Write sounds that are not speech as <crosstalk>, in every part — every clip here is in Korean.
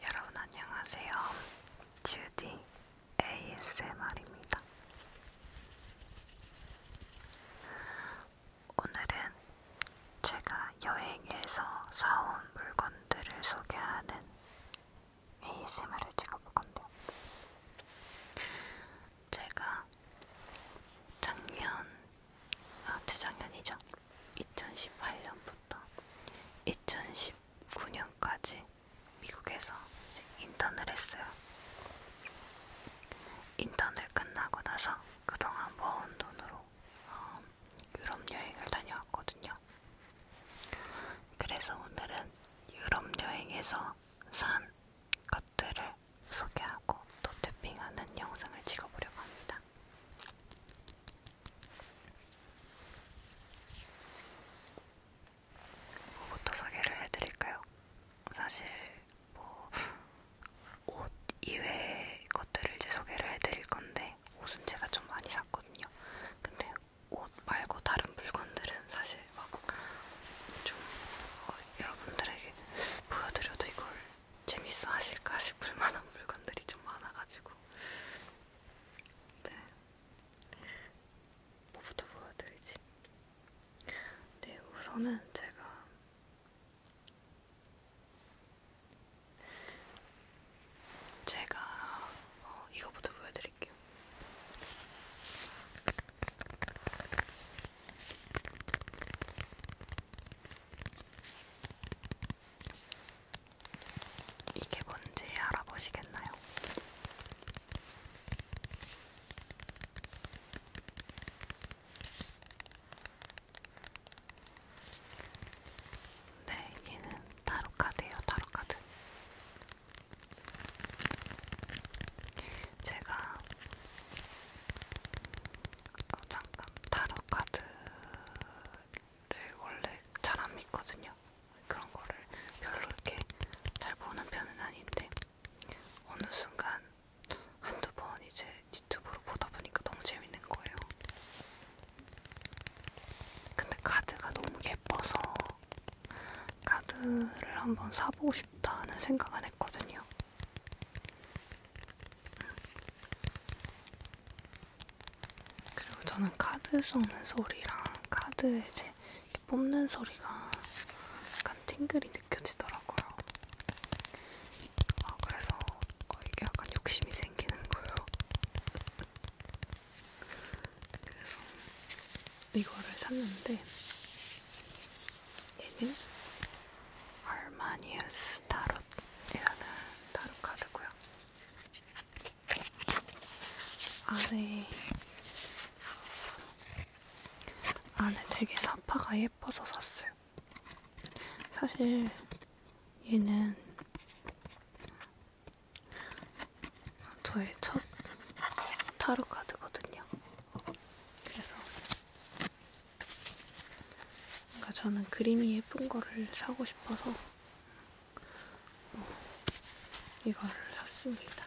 여러분 안녕하세요. 주디 ASMR입니다. 오늘은 제가 여행에서 사온 물건 분들을 소개하는 ASMR을 찍어볼 건데요. 제가 작년, 아, 재작년이죠. 2018년부터 2019년까지 미국에서 이제 인턴을 했어요. 인턴을 끝나고 나서 그동안 모은 돈으로 어, 유럽 여행을 다녀왔거든요. 그래서 오늘은 유럽 여행에서 산 것들을 소개하고 또 탭핑하는 영상을 찍어보려고 합니다. 뭐부터 소개를 해드릴까요? 사실 뭐옷 이외의 것들을 이제 소개를 해드릴 건데 있는데 옷은 제가 좀 많이 샀거든요. 근데 옷 말고 다른 물건들은 사실 막좀 어, 여러분들에게 보여드려도 이걸 재밌어 하실까 싶을 만한 물건들이 좀 많아가지고 네. 뭐부터 보여드리지? 네, 우선은 제가 제가 어, 이거부터 보여드릴게요. 이게 뭔지 알아보시겠나요? 네, 얘는 타로카드예요, 타로카드. 제가 어, 잠깐 타로카드를 원래 잘 안 믿거든요. 그런 거를 별로 이렇게 잘 보는 편은 아닌데 어느 순간 한두 번 이제 유튜브로 보다 보니까 너무 재밌는 거예요. 근데 카드가 너무 예뻐서 카드를 한번 사보고 싶다는 생각은 했거든요. 그리고 저는 카드 썩는 소리랑 카드에 이제 뽑는 소리가 약간 팅글이 느껴지더라고요. 아, 그래서 어, 이게 약간 욕심이 생 땡기는 거예요. 그래서 이거를 샀는데 얘는 얼마니우스 타롯이라는 타롯 카드고요. 안에 안에 되게 사파가 예뻐서 샀어요. 사실 얘는 저의 첫 타로 카드거든요. 그래서 그러니까 저는 그림이 예쁜 거를 사고 싶어서 이거를 샀습니다.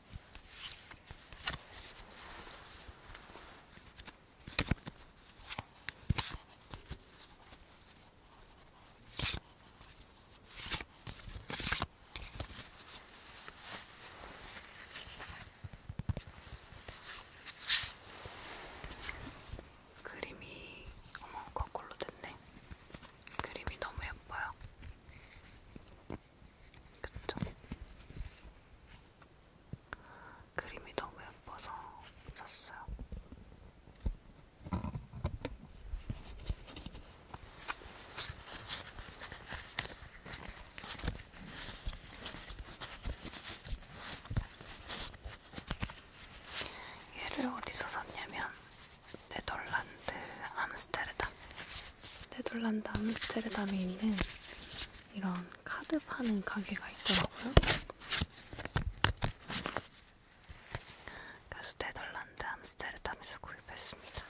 그림이 어머 거꾸로 됐네. 그림이 너무 예뻐요. 그쵸? 그림이 너무 예뻐서 샀어요. 얘를 어디서 샀냐면 네덜란드 암스테르담. 네덜란드 암스테르담에 있는 이런 카드 파는 가게가 있더라고요. 그래서 네덜란드 암스테르담에서 구입했습니다.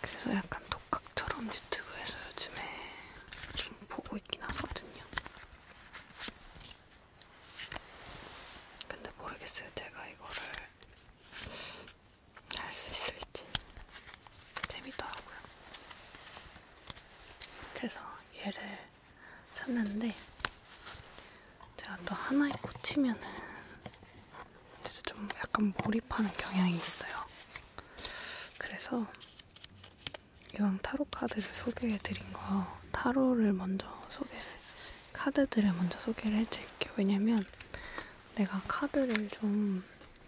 그래서 약간 독학처럼 유튜브에서 요즘에 좀 보고 있긴 하거든요. 근데 모르겠어요. 제가 이거를 할 수 있을지. 재밌더라고요. 그래서 얘를 샀는데 제가 또 하나에 꽂히면은 진짜 좀 약간 몰입하는 경향이 있어요. 그래서 이왕 타로 카드를 소개해드린 거 타로를 먼저 소개 카드들을 먼저 소개를 해드릴게요. 왜냐면 내가 카드를 좀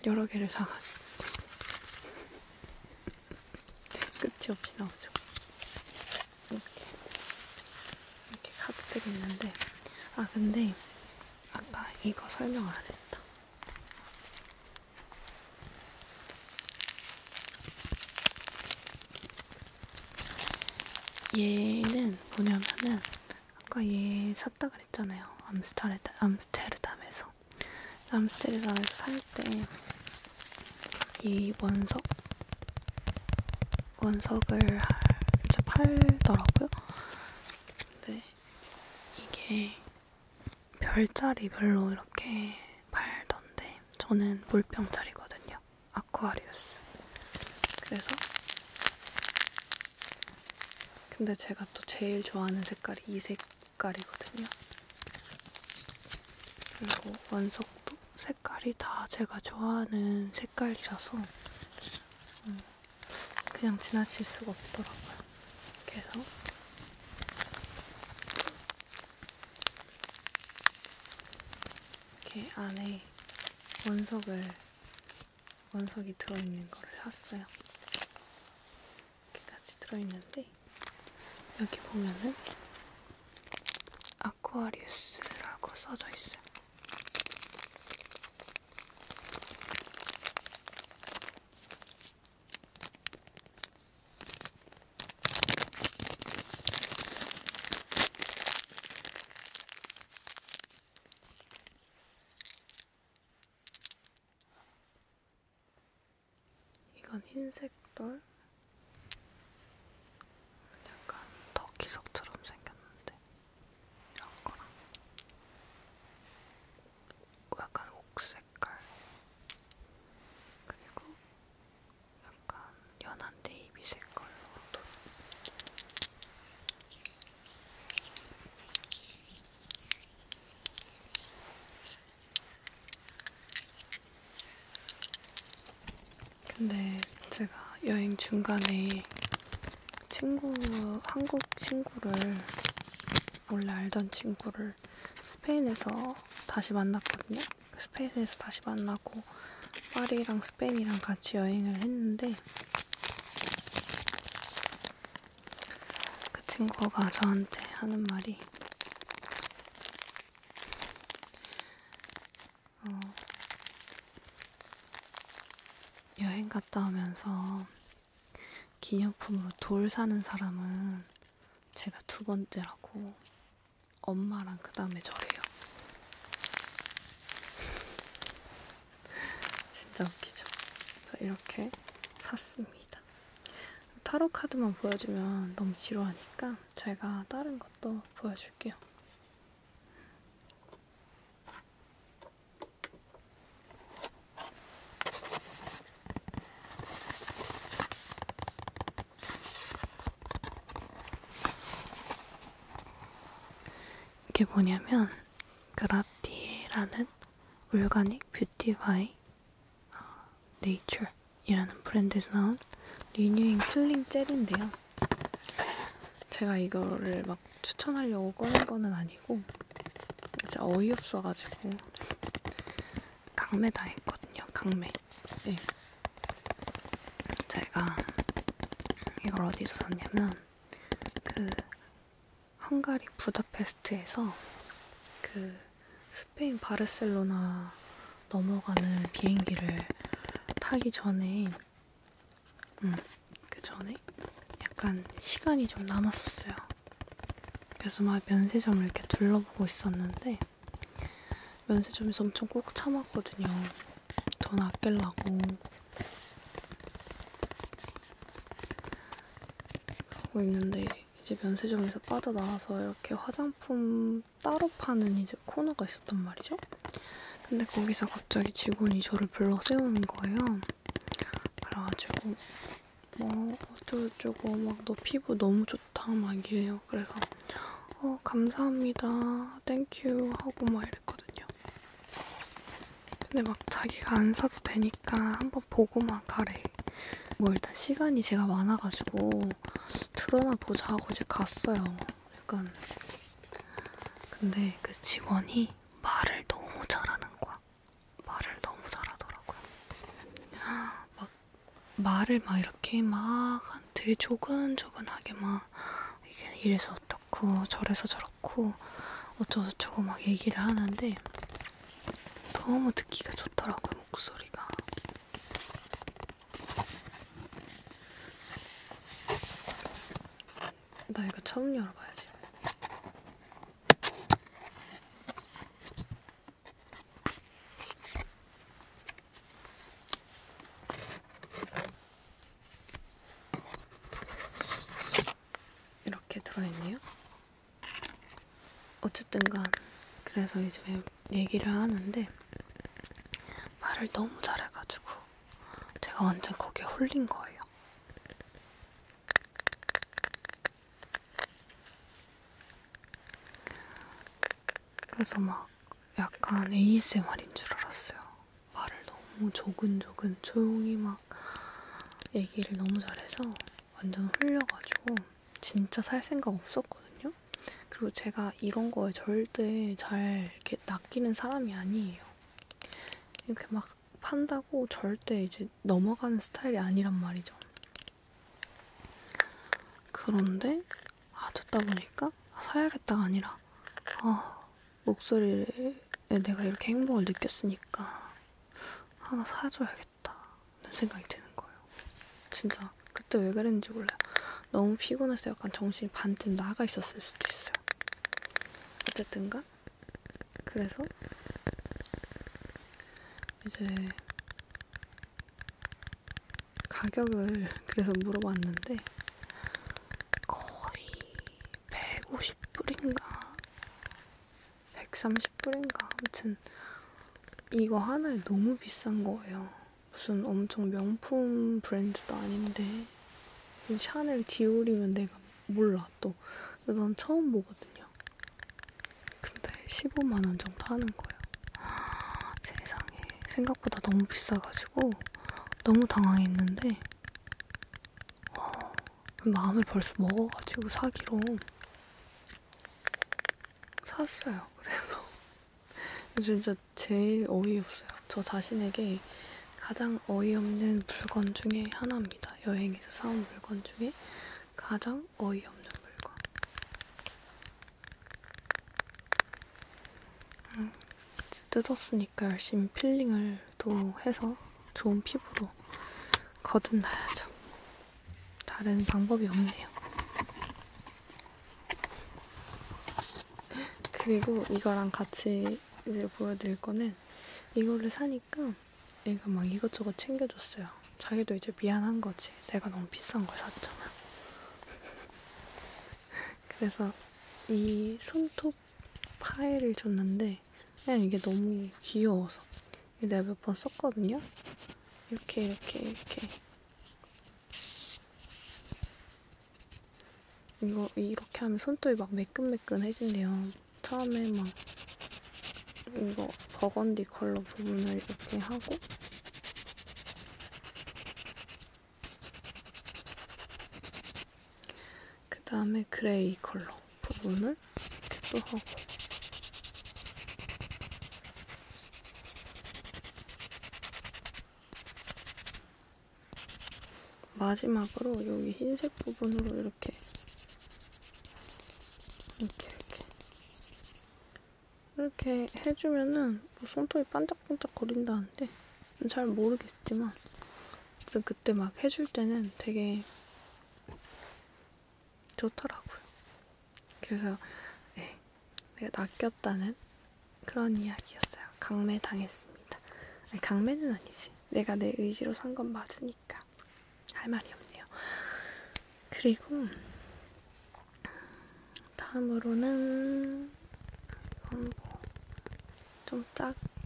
여러 개를 사가지고 <laughs> 끝이 없이 나오죠. 이렇게 이렇게 카드들이 있는데 아 근데 아까 이거 설명 안 했다. 얘는 뭐냐면은 아까 얘 샀다 그랬잖아요. 암스테르담, 암스테르담에서 암스테르담에서 살 때 이 원석 원석을 이제 팔더라고요. 근데 이게 별자리별로 이렇게 팔던데 저는 물병자리거든요. 아쿠아리우스. 그래서 근데 제가 또 제일 좋아하는 색깔이 이 색깔이거든요. 그리고 원석도 색깔이 다 제가 좋아하는 색깔이라서 음, 그냥 지나칠 수가 없더라고요. 그래서 이렇게 안에 원석을 원석이 들어있는 거를 샀어요. 이렇게 같이 들어있는데 여기 보면은 아쿠아리우스라고 써져 있어요. 이건 흰색 돌. 약간 터키석처럼 생겼는데 이런 거랑 약간 옥색깔 그리고 약간 연한 네이비 색깔로 또 근데 제가 여행 중간에 친구, 한국 친구를 원래 알던 친구를 친구를 스페인에서 다시 만났거든요. 스페인에서 다시 만나고 파리랑 스페인이랑 같이 여행을 했는데 그 친구가 저한테 하는 말이 어, 여행 갔다 오면서 기념품으로 돌 사는 사람은 제가 두 번째라고 엄마랑 그 다음에 저래요. <laughs> 진짜 웃기죠? 자, 이렇게 샀습니다. 타로 카드만 보여주면 너무 지루하니까 제가 다른 것도 보여줄게요. 이게 뭐냐면 그라티라는 올가닉 뷰티바이 네이처 이라는 브랜드에서 나온 리뉴잉 필링 젤인데요. 제가 이거를 막 추천하려고 꺼낸 거는 아니고 진짜 어이없어가지고 강매당했거든요. 강매. 네. 제가 이걸 어디서 샀냐면 그 헝가리 부다페스트에서 그 스페인 바르셀로나 넘어가는 비행기를 타기 전에 음, 그 전에 약간 시간이 좀 남았었어요. 그래서 막 면세점을 이렇게 둘러보고 있었는데 면세점에서 엄청 꾹 참았거든요. 돈 아끼려고. 하고 있는데 이제 면세점에서 빠져나와서 이렇게 화장품 따로 파는 이제 코너가 있었단 말이죠. 근데 거기서 갑자기 직원이 저를 불러 세우는 거예요. 그래가지고 뭐 어쩌고저쩌고 막 너 피부 너무 좋 좋다 막 이래요. 그래서 어 감사합니다, 땡큐 하고 막 이랬거든요. 근데 막 자기가 안 사도 되니까 한번 보고만 가래. 뭐 일단 시간이 제가 많아가지고 드러나 보자 하고 이제 갔어요. 약간 근데 그 직원이 말을 너무 잘하는 거야. 말을 너무 잘하더라고요. 막 말을 막 이렇게 막 되게 조근조근하게 막 이게 이래서 어떻고 저래서 저렇고 어쩌고저쩌고 막 얘기를 하는데 너무 듣기가 좋더라고요 목소리가 나 이거 처음 열어봐야지 이렇게 들어있네요. 어쨌든간 그래서 이제 얘기를 하는데 말을 너무 잘해가지고 제가 완전 거기에 홀린 거예요. 그래서 막 약간 ASMR인 줄 알았어요. 말을 너무 조근조근 조용히 막 얘기를 너무 잘해서 완전 홀려가지고 진짜 살 생각 없었거든요. 그리고 제가 이런 거에 절대 잘 이렇게 낚이는 사람이 아니에요. 이렇게 막 판다고 절대 이제 넘어가는 스타일이 아니란 말이죠. 그런데 아 듣다 보니까 아, 사야겠다가 아니라 아 목소리에 내가 이렇게 행복을 느꼈으니까 하나 사줘야겠다 는 생각이 드는 거예요. 진짜 그때 왜 그랬는지 몰라요. 너무 피곤해서 약간 정신이 반쯤 나가 있었을 수도 있어요. 어쨌든가 그래서 이제 가격을 그래서 물어봤는데 거의 150불인가 130불인가 아무튼 이거 하나에 너무 비싼 거예요. 무슨 엄청 명품 브랜드도 아닌데 무슨 샤넬 디올이면 내가 몰라 또. 근데 난 처음 보거든요. 근데 15만원 정도 하는 거예요. 아, 세상에. 생각보다 너무 비싸가지고 너무 당황했는데, 와, 어, 마음을 벌써 먹어가지고 사기로 샀어요. 그래서 <laughs> 진짜 제일 어이없어요. 저 자신에게 가장 어이없는 물건 중에 하나입니다. 여행에서 사온 물건 중에 가장 참 어이없는 물건. 음, 뜯었으니까 열심히 필링을 또 해서 좋은 피부로 거듭나야죠. 다른 방법이 없네요. 그리고 이거랑 같이 이제 보여드릴 거는 이거를 사니까 얘가 막 이것저것 챙겨줬어요. 자기도 이제 미안한 거지. 내가 너무 비싼 걸 샀잖아. <laughs> 그래서 이 손톱 파일을 줬는데 그냥 이게 너무 귀여워서 내가 몇 번 썼거든요. 이렇게 이렇게 이렇게 이거 이렇게 하면 손톱이 막 매끈매끈해진대요. 처음에 막 이거 버건디 컬러 부분을 이렇게 하고 그 다음에 그레이 컬러 부분을 이렇게 또 하고 마지막으로 여기 흰색 부분으로 이렇게 이렇게 이렇게 이렇게 해주면은 뭐 손톱이 반짝반짝 거린다는데 잘 모르겠지만 그때 막 해줄 때는 되게 좋더라고요. 그래서 네, 내가 낚였다는 그런 이야기였어요. 강매 당했습니다. 아니, 강매는 아니지. 내가 내 의지로 산 건 맞으니까 할 말이 없네요. 그리고 다음으로는 이건 뭐좀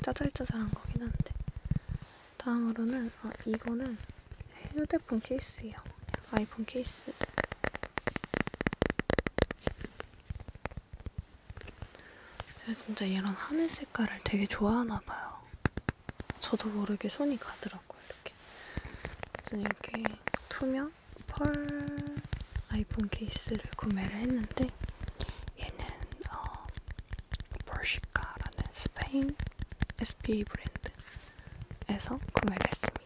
짜잘짜잘한 거긴 한데 다음으로는 아, 이거는 휴대폰 케이스예요. 아이폰 케이스. 제가 진짜 이런 하늘 색깔을 되게 좋아하나 봐요. 저도 모르게 손이 가더라고요. 이렇게. 무슨 이렇게 투명? 펄 아이폰 케이스를 구매를 했는데 얘는 어, 폴시카라는 스페인 SPA 브랜드에서 구매를 했습니다.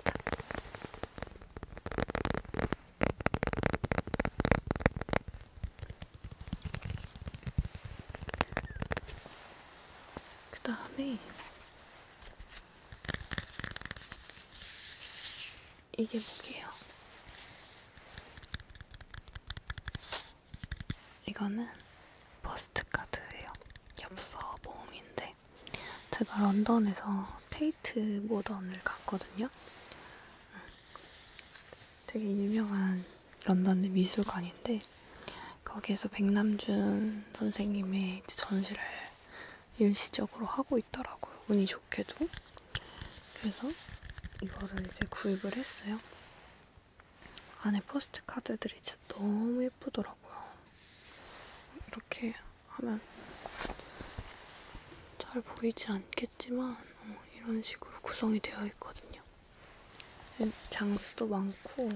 그 다음에 이게 뭐게요? 이거는 버스트카드예요. 엽서 모음인데 제가 런던에서 테이트 모던을 갔거든요. 음, 되게 유명한 런던의 미술관인데 거기에서 백남준 선생님의 전시를 일시적으로 하고 있더라고요. 운이 좋게도. 그래서 이거를 이제 구입을 했어요. 안에 포스트 카드들이 진짜 너무 예쁘더라고요. 이렇게 하면 잘 보이지 않겠지만 어, 이런 식으로 구성이 되어 있거든요. 네, 장수도 많고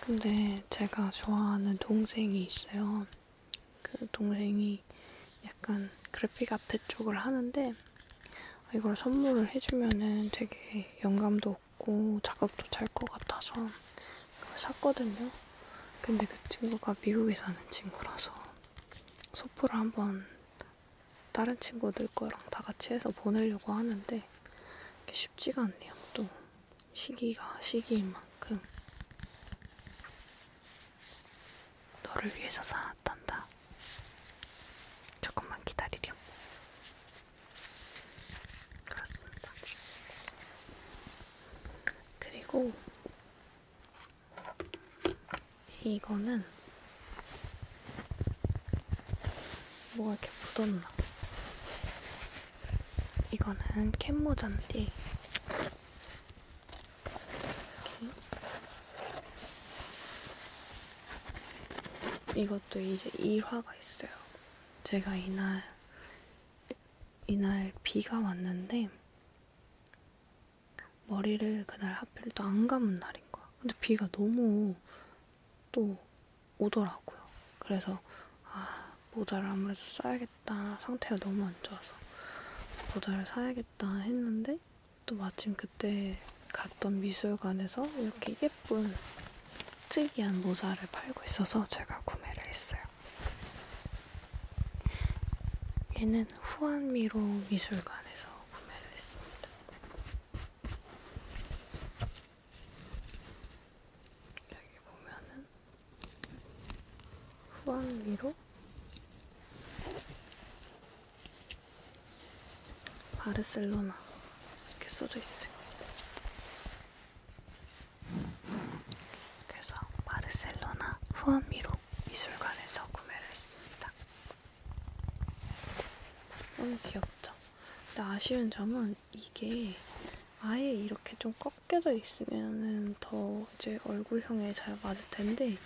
근데 제가 좋아하는 동생이 있어요. 그 동생이 약간 그래픽 아트 쪽을 하는데 이걸 선물을 해주면은 되게 영감도 없고 작업도 잘 것 같아서 그걸 샀거든요. 근데 그 친구가 미국에 사는 친구라서 소프를 한번 다른 친구들 거랑 다 같이 해서 보내려고 하는데 쉽지가 않네요. 또 시기가 시기인 만큼 너를 위해서 살았단다. 조금만 기다리렴. 그렇습니다. 그리고 이거는 뭐가 이렇게 묻었나? 이거는 캔모잔데 이렇게. 이것도 이제 2화가 있어요. 제가 이날 이날 비가 왔는데 머리를 그날 하필 또 안 감은 날인 거야. 근데 비가 너무 또 오더라고요. 그래서 아 모자를 아무래도 써야겠다 사야겠다. 상태가 너무 안 좋아서 모자를 사야겠다 했는데 또 마침 그때 갔던 미술관에서 이렇게 예쁜 특이한 모자를 팔고 있어서 제가 구매를 했어요. 얘는 후안미로 미술관에서 구매를 했습니다. 여기 보면은 후황 위로 바르셀로나 이렇게 써져 있어요. 그래서 바르셀로나 후암 위로 미술관에서 구매를 했습니다. 너무 귀엽죠? 근데 아쉬운 점은 약간 이게 아예 이렇게 좀 꺾여져 있으면은 더 이제 얼굴형에 잘 맞을 텐데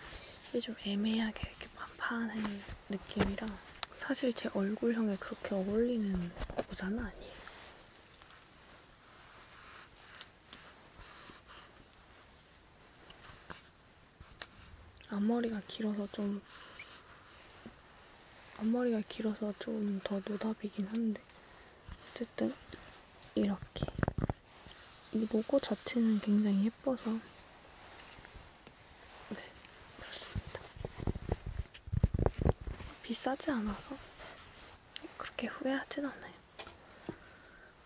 이게 좀 애매하게 이렇게 반판한 느낌이라 사실 제 얼굴형에 그렇게 어울리는 모자는 아니에요. 앞머리가 길어서 좀 앞머리가 길어서 좀 더 노답이긴 한데 어쨌든 이렇게 이 로고 자체는 굉장히 예뻐서 네 그렇습니다. 비싸지 않아서 그렇게 후회하진 않아요.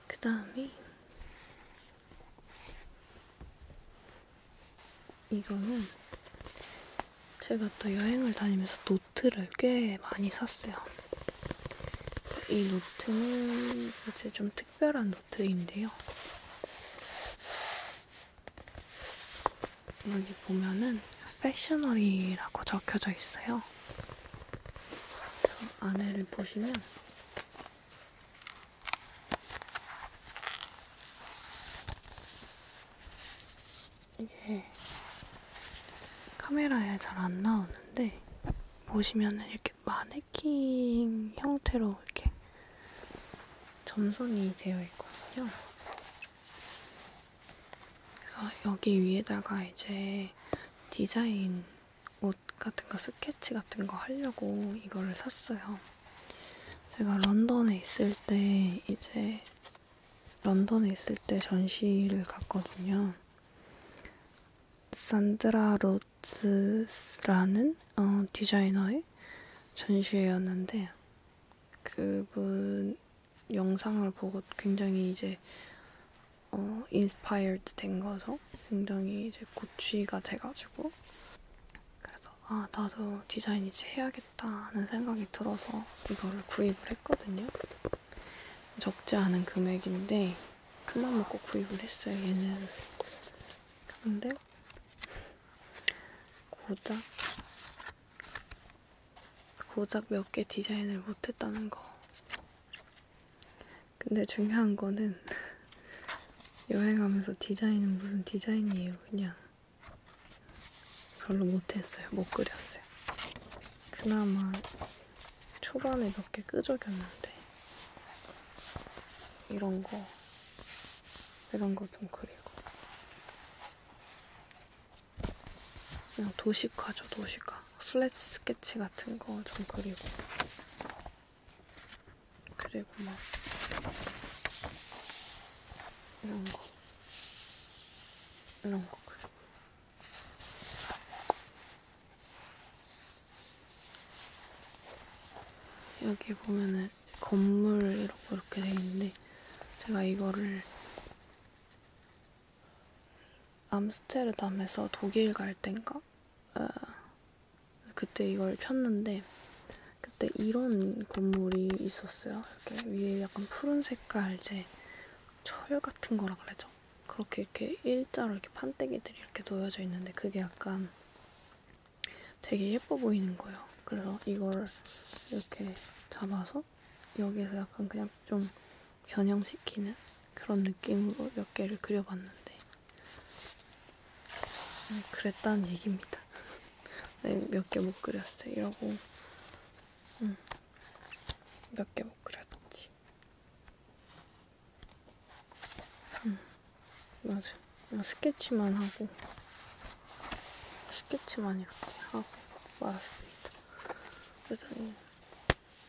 그 다음에 이거는 제가 또 여행을 다니면서 노, 노트를 꽤 많이 샀어요. 이 노트는 이제 좀 특별한 노트인데요. 여기 보면은 패셔너리라고 적혀져 있어요. 안에를 보시면 이게 카메라에 잘 안 나오는데 보시면은 이렇게 마네킹 형태로 이렇게 점선이 되어 있거든요. 그래서 여기 위에다가 이제 디자인 옷 같은 거 스케치 같은 거 하려고 이거를 샀어요. 제가 런던에 있을 때 이제 런던에 있을 때 전시를 갔거든요. 산드라 로츠라는 어, 디자이너의 전시회였는데 그분 영상을 보고 굉장히 이제 어, 인스파이어드 된 거죠. 굉장히 이제 고취가 돼가지고 그래서 아 나도 디자인 이제 해야겠다 하는 생각이 들어서 이거를 구입을 했거든요. 적지 않은 금액인데 큰맘 먹고 구입을 했어요. 얘는 근데 고작 고작 몇 개 디자인을 못했다는 거. 근데 중요한 거는 <laughs> 여행하면서 디자인은 무슨 디자인이에요. 그냥 별로 못했어요. 못 그렸어요. 그나마 초반에 몇 개 끄적였는데 이런 거 이런 거 좀 그리고 그냥 도시화죠 도시화 슬래치 스케치 같은 거 좀 그리고 그리고 막 이런 거 이런 거 그리고 여기 보면은 건물 이렇게 이렇게 돼 있는데 제가 이거를 암스테르담에서 독일 갈 땐가 어, 그때 이걸 폈는데 그때 이런 건물이 있었어요. 이렇게 위에 약간 푸른 색깔 이제 철 같은 거라 그러죠. 그렇게 이렇게 일자로 이렇게 판때기들이 이렇게 놓여져 있는데 그게 약간 되게 예뻐 보이는 거예요. 그래서 이걸 이렇게 잡아서 여기에서 약간 그냥 좀 변형시키는 그런 느낌으로 몇 개를 그려봤는데 네, 그랬다는 얘기입니다. <laughs> 네, 몇개 못 그렸어요. 이러고 음. 몇개못 그렸지. 응, 음, 맞아. 그냥 뭐 스케치만 하고, 스케치만 이렇게 하고 말았습니다. 그러더니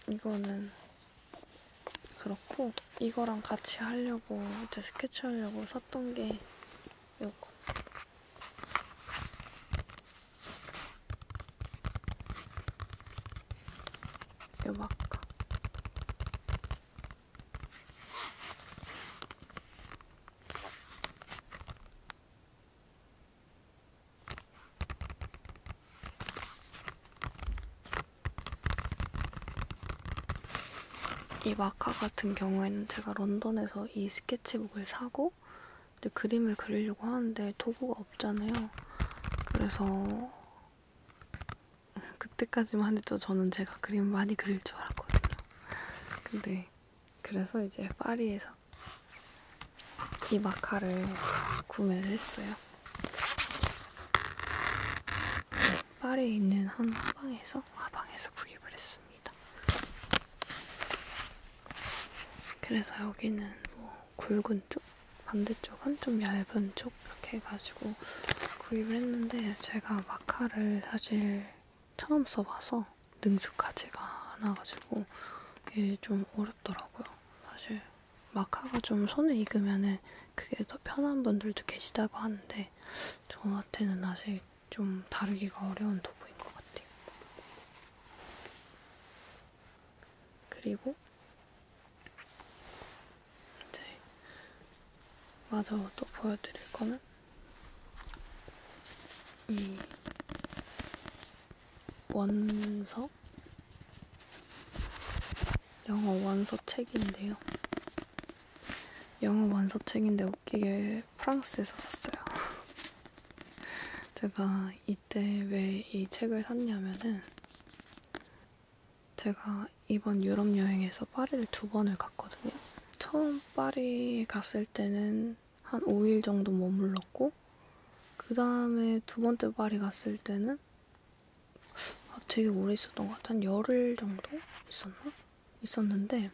이거는 그렇고, 이거랑 같이 하려고, 이제 스케치 하려고 샀던 게 이거. 요만큼 이 마카 같은 경우에는 제가 런던에서 이 스케치북을 사고 하고 이제 그림을 그리려고 하는데 도구가 없잖아요. 그래서 <laughs> 그때까지만 해도 저는 제가 그림 많이 그릴 줄 알았거든요. 근데 그래서 이제 파리에서 이 마카를 구매를 했어요. 파리에 있는 한 화방에서 화방에서 구입을 했습니다. 그래서 여기는 뭐 굵은 쪽, 반대쪽은 좀 얇은 쪽 이렇게 해가지고 구입을 했는데 제가 마카를 사실 처음 써봐서 능숙하지가 않아가지고 이게 좀 어렵더라고요. 사실 마카가 좀 손에 익으면은 그게 더 편한 분들도 계시다고 하는데 저한테는 아직 좀 다루기가 어려운 도구인 것 같아요. 그리고 이제 마저 또 보여드릴 거는 이 원서 영어 원서 책인데요. 영어 원서 책인데 웃기게 프랑스에서 샀어요. <laughs> 제가 이때 왜 이 책을 샀냐면은 제가 이번 유럽 여행에서 파리를 두 번을 갔거든요. 처음 파리 갔을 때는 한 5일 정도 머물렀고 그 다음에 두 번째 파리 갔을 때는 아, 되게 오래 있었던 것 같아. 한 열흘 정도 있었나? 있었는데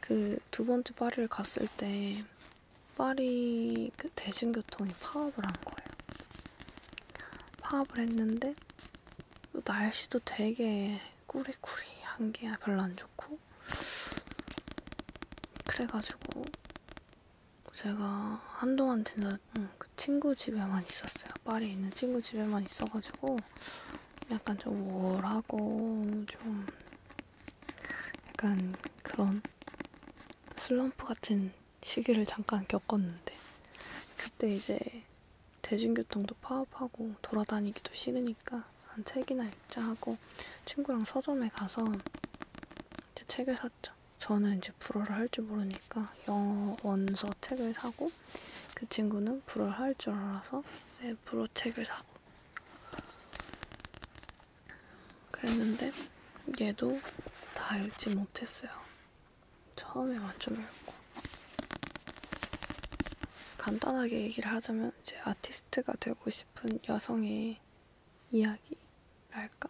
그 두 번째 파리를 갔을 때 파리 그 대중교통이 파업을 한 거예요. 파업을 했는데 날씨도 되게 꾸리꾸리 한 게 별로 안 좋고 그래가지고 제가 한동안 진짜 그 친구 집에만 있었어요. 파리에 있는 친구 집에만 있어가지고 약간 좀 우울하고 좀 약간 그런 슬럼프 같은 시기를 잠깐 겪었는데 그때 이제 대중교통도 파업하고 돌아다니기도 싫으니까 한 책이나 읽자 하고 친구랑 서점에 가서 이제 책을 샀죠. 저는 이제 불어를 할 줄 모르니까 영어 원서 책을 사고 그 친구는 불어를 할 줄 알아서 네, 불어 책을 사고 그랬는데 얘도 다 읽지 못했어요. 처음에 만좀 읽고 간단하게 얘기를 하자면 이제 아티스트가 되고 싶은 여성의 이야기랄까?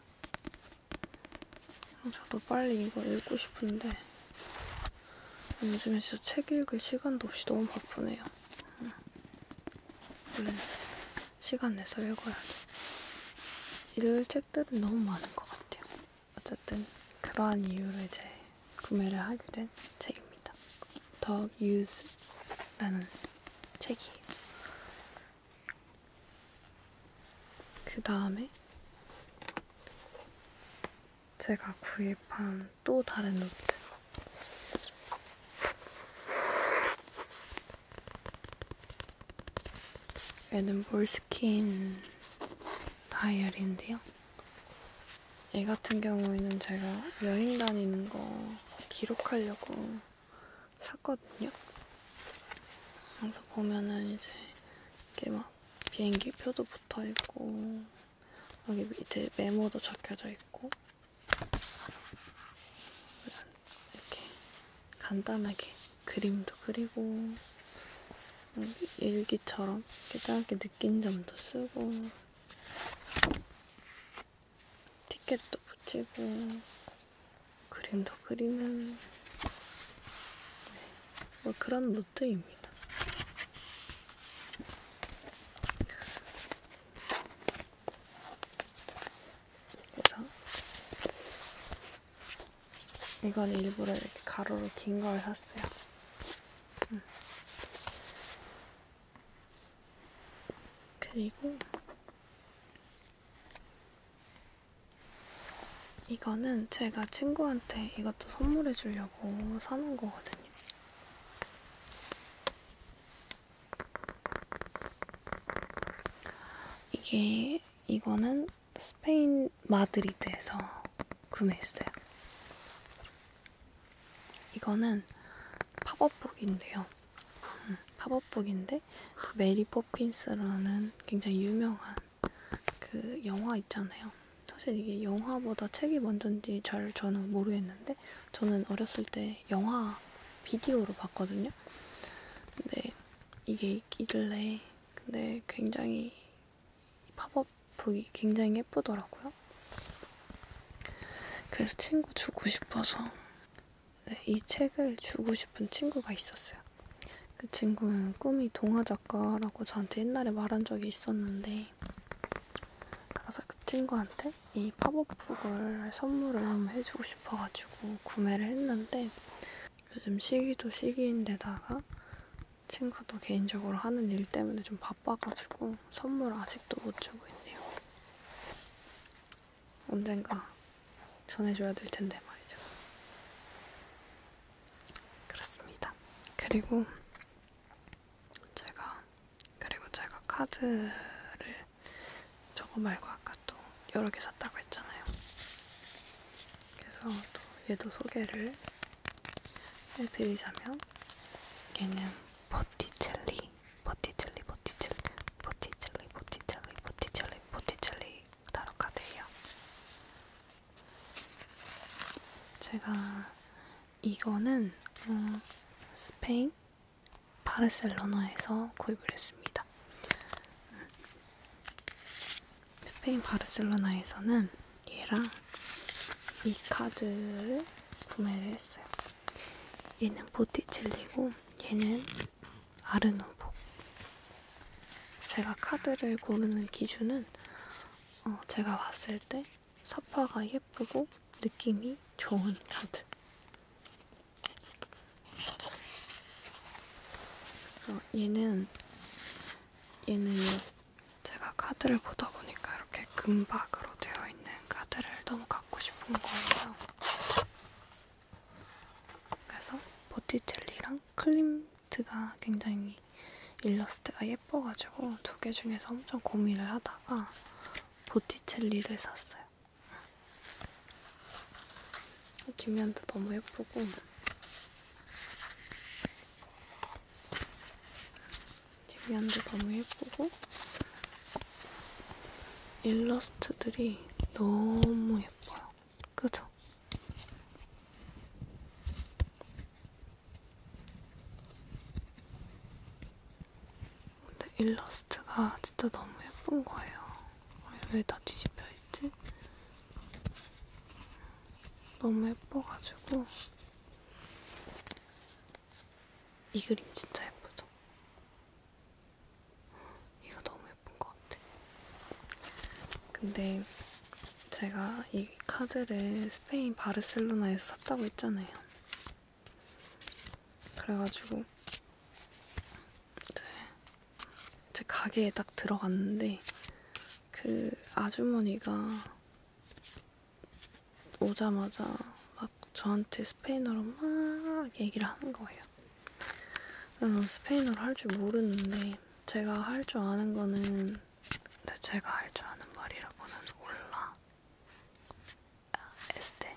저도 빨리 이거 읽고 싶은데 요즘에 진짜 책 읽을 시간도 없이 너무 바쁘네요. 음. 원래 시간 내서 읽어야죠. 읽을 책들은 너무 많은 것 같아요. 어쨌든 그러한 이유로 이제 구매를 하게 된 책입니다. 더 유즈라는 책이에요. 그 다음에 제가 구입한 또 다른 노트 얘는 몰스킨 다이어리인데요. 얘 같은 경우에는 제가 여행 다니는 거 기록하려고 샀거든요. 항상 보면은 이제 이렇게 막 비행기 표도 붙어 있고 여기 밑에 메모도 적혀져 있고 이렇게 간단하게 그림도 그리고 일기처럼 이렇게 짧게 느낀 점도 쓰고 티켓도 붙이고 그림도 그리는 네, 뭐 그런 노트입니다. 그래서 이건 일부러 이렇게 가로로 긴 걸 샀어요. 음. 그리고 이거는 제가 친구한테 이것도 선물해 주려고 사놓은 거거든요. 이게 이거는 스페인 마드리드에서 구매했어요. 이거는 팝업북인데요. 음, 팝업북인데 메리 포핀스라는 굉장히 유명한 그 영화 있잖아요. 사실 이게 영화보다 책이 먼저인지 잘 저는 모르겠는데 저는 어렸을 때 영화 비디오로 봤거든요. 있거든요. 근데 이게 있길래 근데 굉장히 팝업북이 굉장히 예쁘더라고요. 그래서 친구 주고 싶어서 네, 이 책을 주고 싶은 친구가 있었어요. 그 친구는 꿈이 동화 작가라고 저한테 옛날에 말한 적이 있었는데 그래서 그 친구한테 이 팝업북을 선물을 해주고 싶어가지고 구매를 했는데 요즘 시기도 시기인데다가 친구도 개인적으로 하는 일 때문에 좀 바빠가지고 선물 아직도 못 주고 있네요. 언젠가 전해줘야 될 텐데 말이죠. 그렇습니다. 그리고 제가 그리고 제가 카드를 저거 말고 아까 또 여러 개 샀다고 했잖아요. 그래서 또 얘도 소개를 해드리자면 얘는 보티첼리, 보티첼리, 보티첼리, 보티첼리, 보티첼리, 보티첼리, 보티첼리 타로카드예요. 제가 이거는 어, 스페인 바르셀로나에서 구입을 했습니다. 스페인 바르셀로나에서는 얘랑 이 카드를 구매를 했어요. 얘는 보티첼리고 얘는 아르누보. 제가 카드를 고르는 기준은 어, 제가 봤을 때 사파가 예쁘고 느낌이 좋은 카드 어, 얘는 얘는 제가 카드를 보다 보니까 이렇게 금박으로 되어 있는 카드를 너무 갖고 싶은 거예요. 그래서 보티첼리랑 클림트가 굉장히 일러스트가 예뻐가지고 두 개 중에서 엄청 고민을 하다가 보티첼리를 샀어요. 뒷면도 너무 예쁘고 뒷면도 너무 예쁘고 일러스트들이 너무 예뻐요. 그죠? 근데 일러스트가 진짜 너무 예쁜 거예요. 왜다 뒤집혀 있지? 너무 예뻐가지고 이 그림 진짜 예쁘죠? 이거 너무 예쁜 것 같아. 근데 제가 이 카드를 스페인 바르셀로나에서 샀다고 했잖아요. 그래가지고 이제, 네. 이제 가게에 딱 들어갔는데 그 아주머니가 오자마자 막 저한테 스페인어로 막 얘기를 하는 거예요. 스페인어를 할 줄 모르는데 제가 할 줄 아는 거는 제가 할 줄 아는 말이라고는 올라 아, 에스테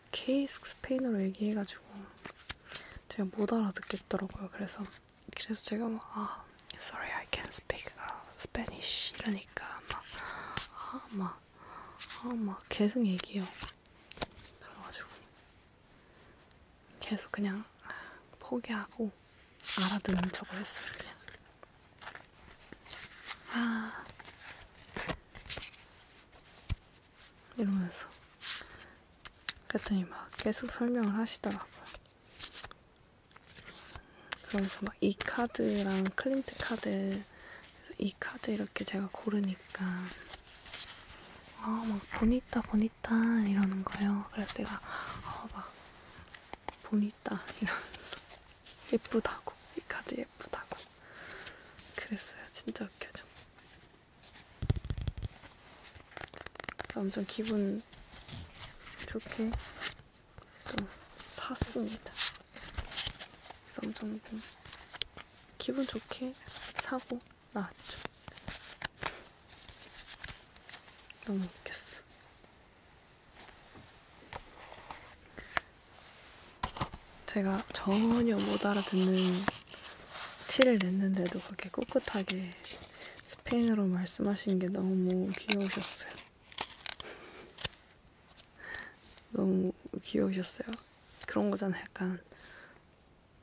계속 스페인어로 얘기해가지고 제가 못 알아듣겠더라고요. 그래서 그래서 제가 막 아, sorry I can't speak 아, Spanish 이러니까 막 아막아막 아, 아, 막 계속 얘기해요. 그래가지고 계속 그냥 포기하고 알아듣는 척을 했어요. 그냥. 아 이러면서 그랬더니 막 계속 설명을 하시더라고요. 그러면서 막 이 카드랑 클린트 카드 이 카드 이렇게 제가 고르니까 아 막 보니따 보니따 이러는 거예요. 그래서 내가 아 막 보니따 이러면서 예쁘다고 이 카드 예쁘다고 그랬어요 진짜 웃겨져 엄청 기분 좋게 또 샀습니다 그래서 엄청 기분 좋게 사고 나왔죠 너무 웃겼어 제가 전혀 못 알아듣는 티를 냈는데도 그렇게 꿋꿋하게 스페인어로 말씀하신 게 너무 귀여우셨어요. <laughs> 너무 귀여우셨어요. 그런 거잖아, 약간.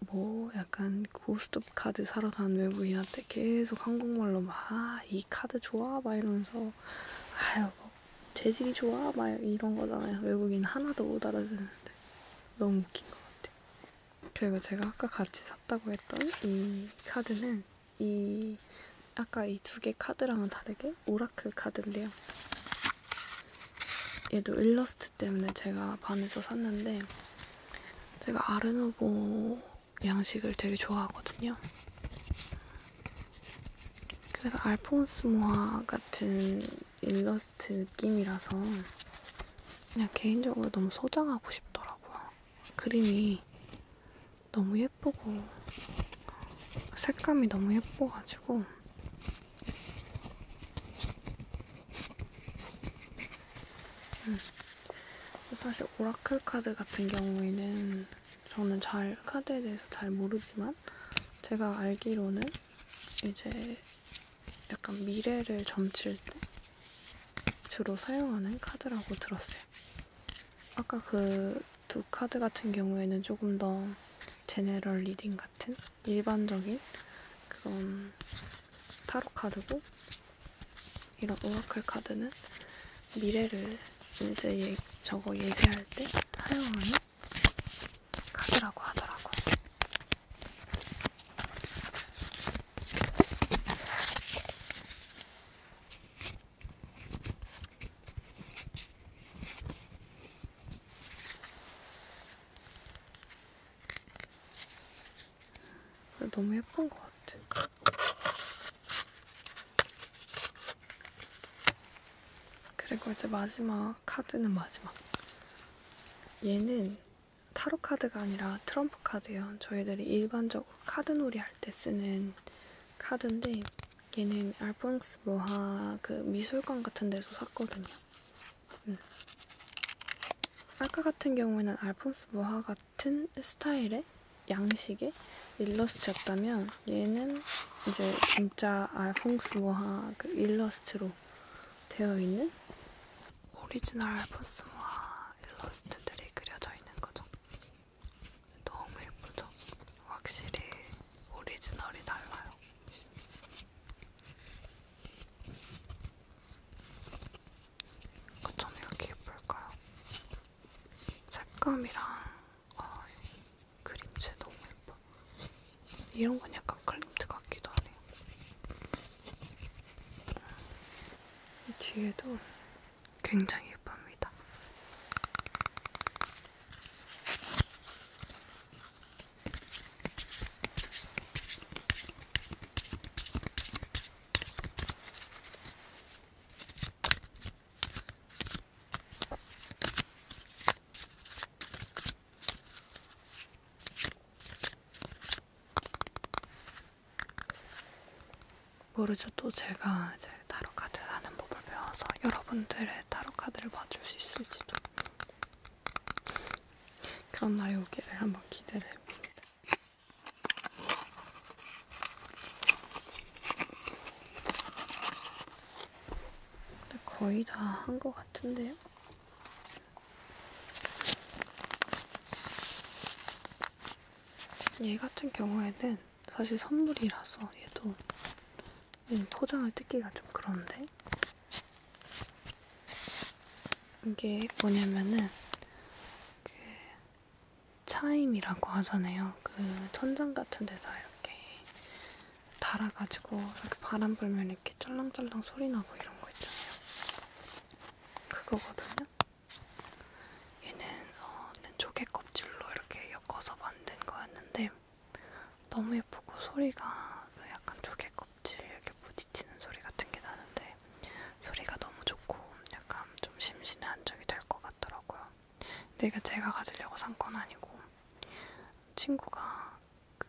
뭐 약간 고스톱 카드 사러 간 외국인한테 계속 한국말로 막아이 카드 좋아 막 이러면서 아유 뭐 재질이 좋아 막 이런 거잖아요. 외국인 하나도 못 알아듣는데 너무 웃긴 것 같아요. 그리고 제가 아까 같이 샀다고 했던 이 카드는 이 아까 이 두 개 카드랑은 다르게 오라클 카드인데요. 얘도 일러스트 때문에 제가 반해서 샀는데 제가 아르누보 양식을 되게 좋아하거든요. 그래서 알폰스 모아 같은 일러스트 느낌이라서 그냥 개인적으로 너무 소장하고 싶더라고요. 그림이 너무 예쁘고 색감이 너무 예뻐가지고 음. 사실 오라클 카드 같은 경우에는 저는 잘 카드에 대해서 잘 모르지만 모르겠지만 제가 알기로는 이제 약간 미래를 점칠 때 주로 사용하는 카드라고 들었어요. 아까 그 두 카드 같은 경우에는 조금 더 제네럴 리딩 같은 일반적인 그런 타로 카드고 이런 오라클 카드는 미래를 이제 예, 저거 얘기할 때 사용하는 가더라고 하더라고. 너무 예쁜 것 같아. 그리고 이제 마지막 카드는 마지막. 얘는 타로 카드가 아니라 트럼프 카드예요. 저희들이 일반적으로 카드놀이 할 때 쓰는 카드인데 얘는 알퐁스 모하 그 미술관 같은 데서 샀거든요. 음. 아까 같은 경우에는 알폰스 모하 같은 스타일의 양식의 일러스트였다면 그냥 얘는 이제 진짜 알퐁스 모하 그 일러스트로 되어 있는 오리지널 알퐁스 모하 일러스트들이 그려져 있는 거죠. 너무 예쁘죠? 확실히 오리지널이 달라요. 어쩜 이렇게 예쁠까요? 색감이랑 아, 그림체 너무 예뻐. 이런 건 약간 클림트 같기도 하네요. 이 뒤에도 굉장히 예쁩니다. 모르죠. 또 제가 이제 타로 카드 하는 법을 배워서 여러분들의 타로 카드를 맞출 수 있을지도 그런 날이 오기를 한번 기대를 해봅니다. 근데 거의 다 한 것 같은데요? 얘 같은 경우에는 사실 선물이라서 얘도 음, 포장을 뜯기가 좀 그런데 이게 뭐냐면은 그 차임이라고 하잖아요. 그 천장 같은 데다 이렇게 달아가지고 이렇게 바람 불면 이렇게 짤랑짤랑 소리 나고 이런 거 있잖아요. 그거거든요. 얘는 어, 조개 껍질로 이렇게 엮어서 만든 거였는데 너무 예쁘고 소리가 그 약간 조개 껍질 이렇게 부딪히는 소리 같은 게 나는데 소리가 너무 좋고 약간 좀 심신의 안정이 될 것 같더라고요. 내가 제가 가지려고 산 건 아니고 친구가 그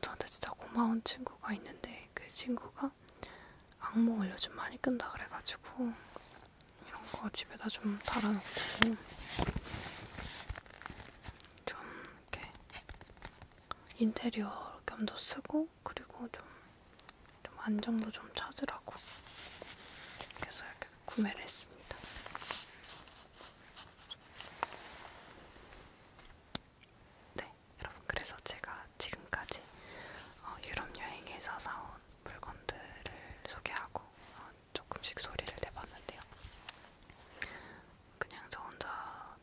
저한테 진짜 고마운 친구가 있는데 그 친구가 악몽을 요즘 많이 끈다 그래가지고 이런 거 집에다 좀 달아놓고 좀 이렇게 인테리어 겸도 쓰고 그리고 좀, 좀 안정도 좀 찾으라고 그래서 이렇게 구매를 했습니다. 네, 여러분 그래서 제가 지금까지 어, 유럽 여행에서 사온 물건들을 소개하고 어, 조금씩 소리를 내봤는데요. 그냥 저 혼자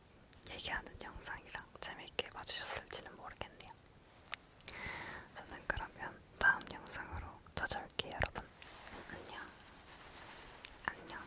얘기하는 영상이랑 재미있게 봐주셨을지는 모르겠네요. 저는 그러면 다음 영상으로 찾아올게요, 여러분. 안녕. 안녕.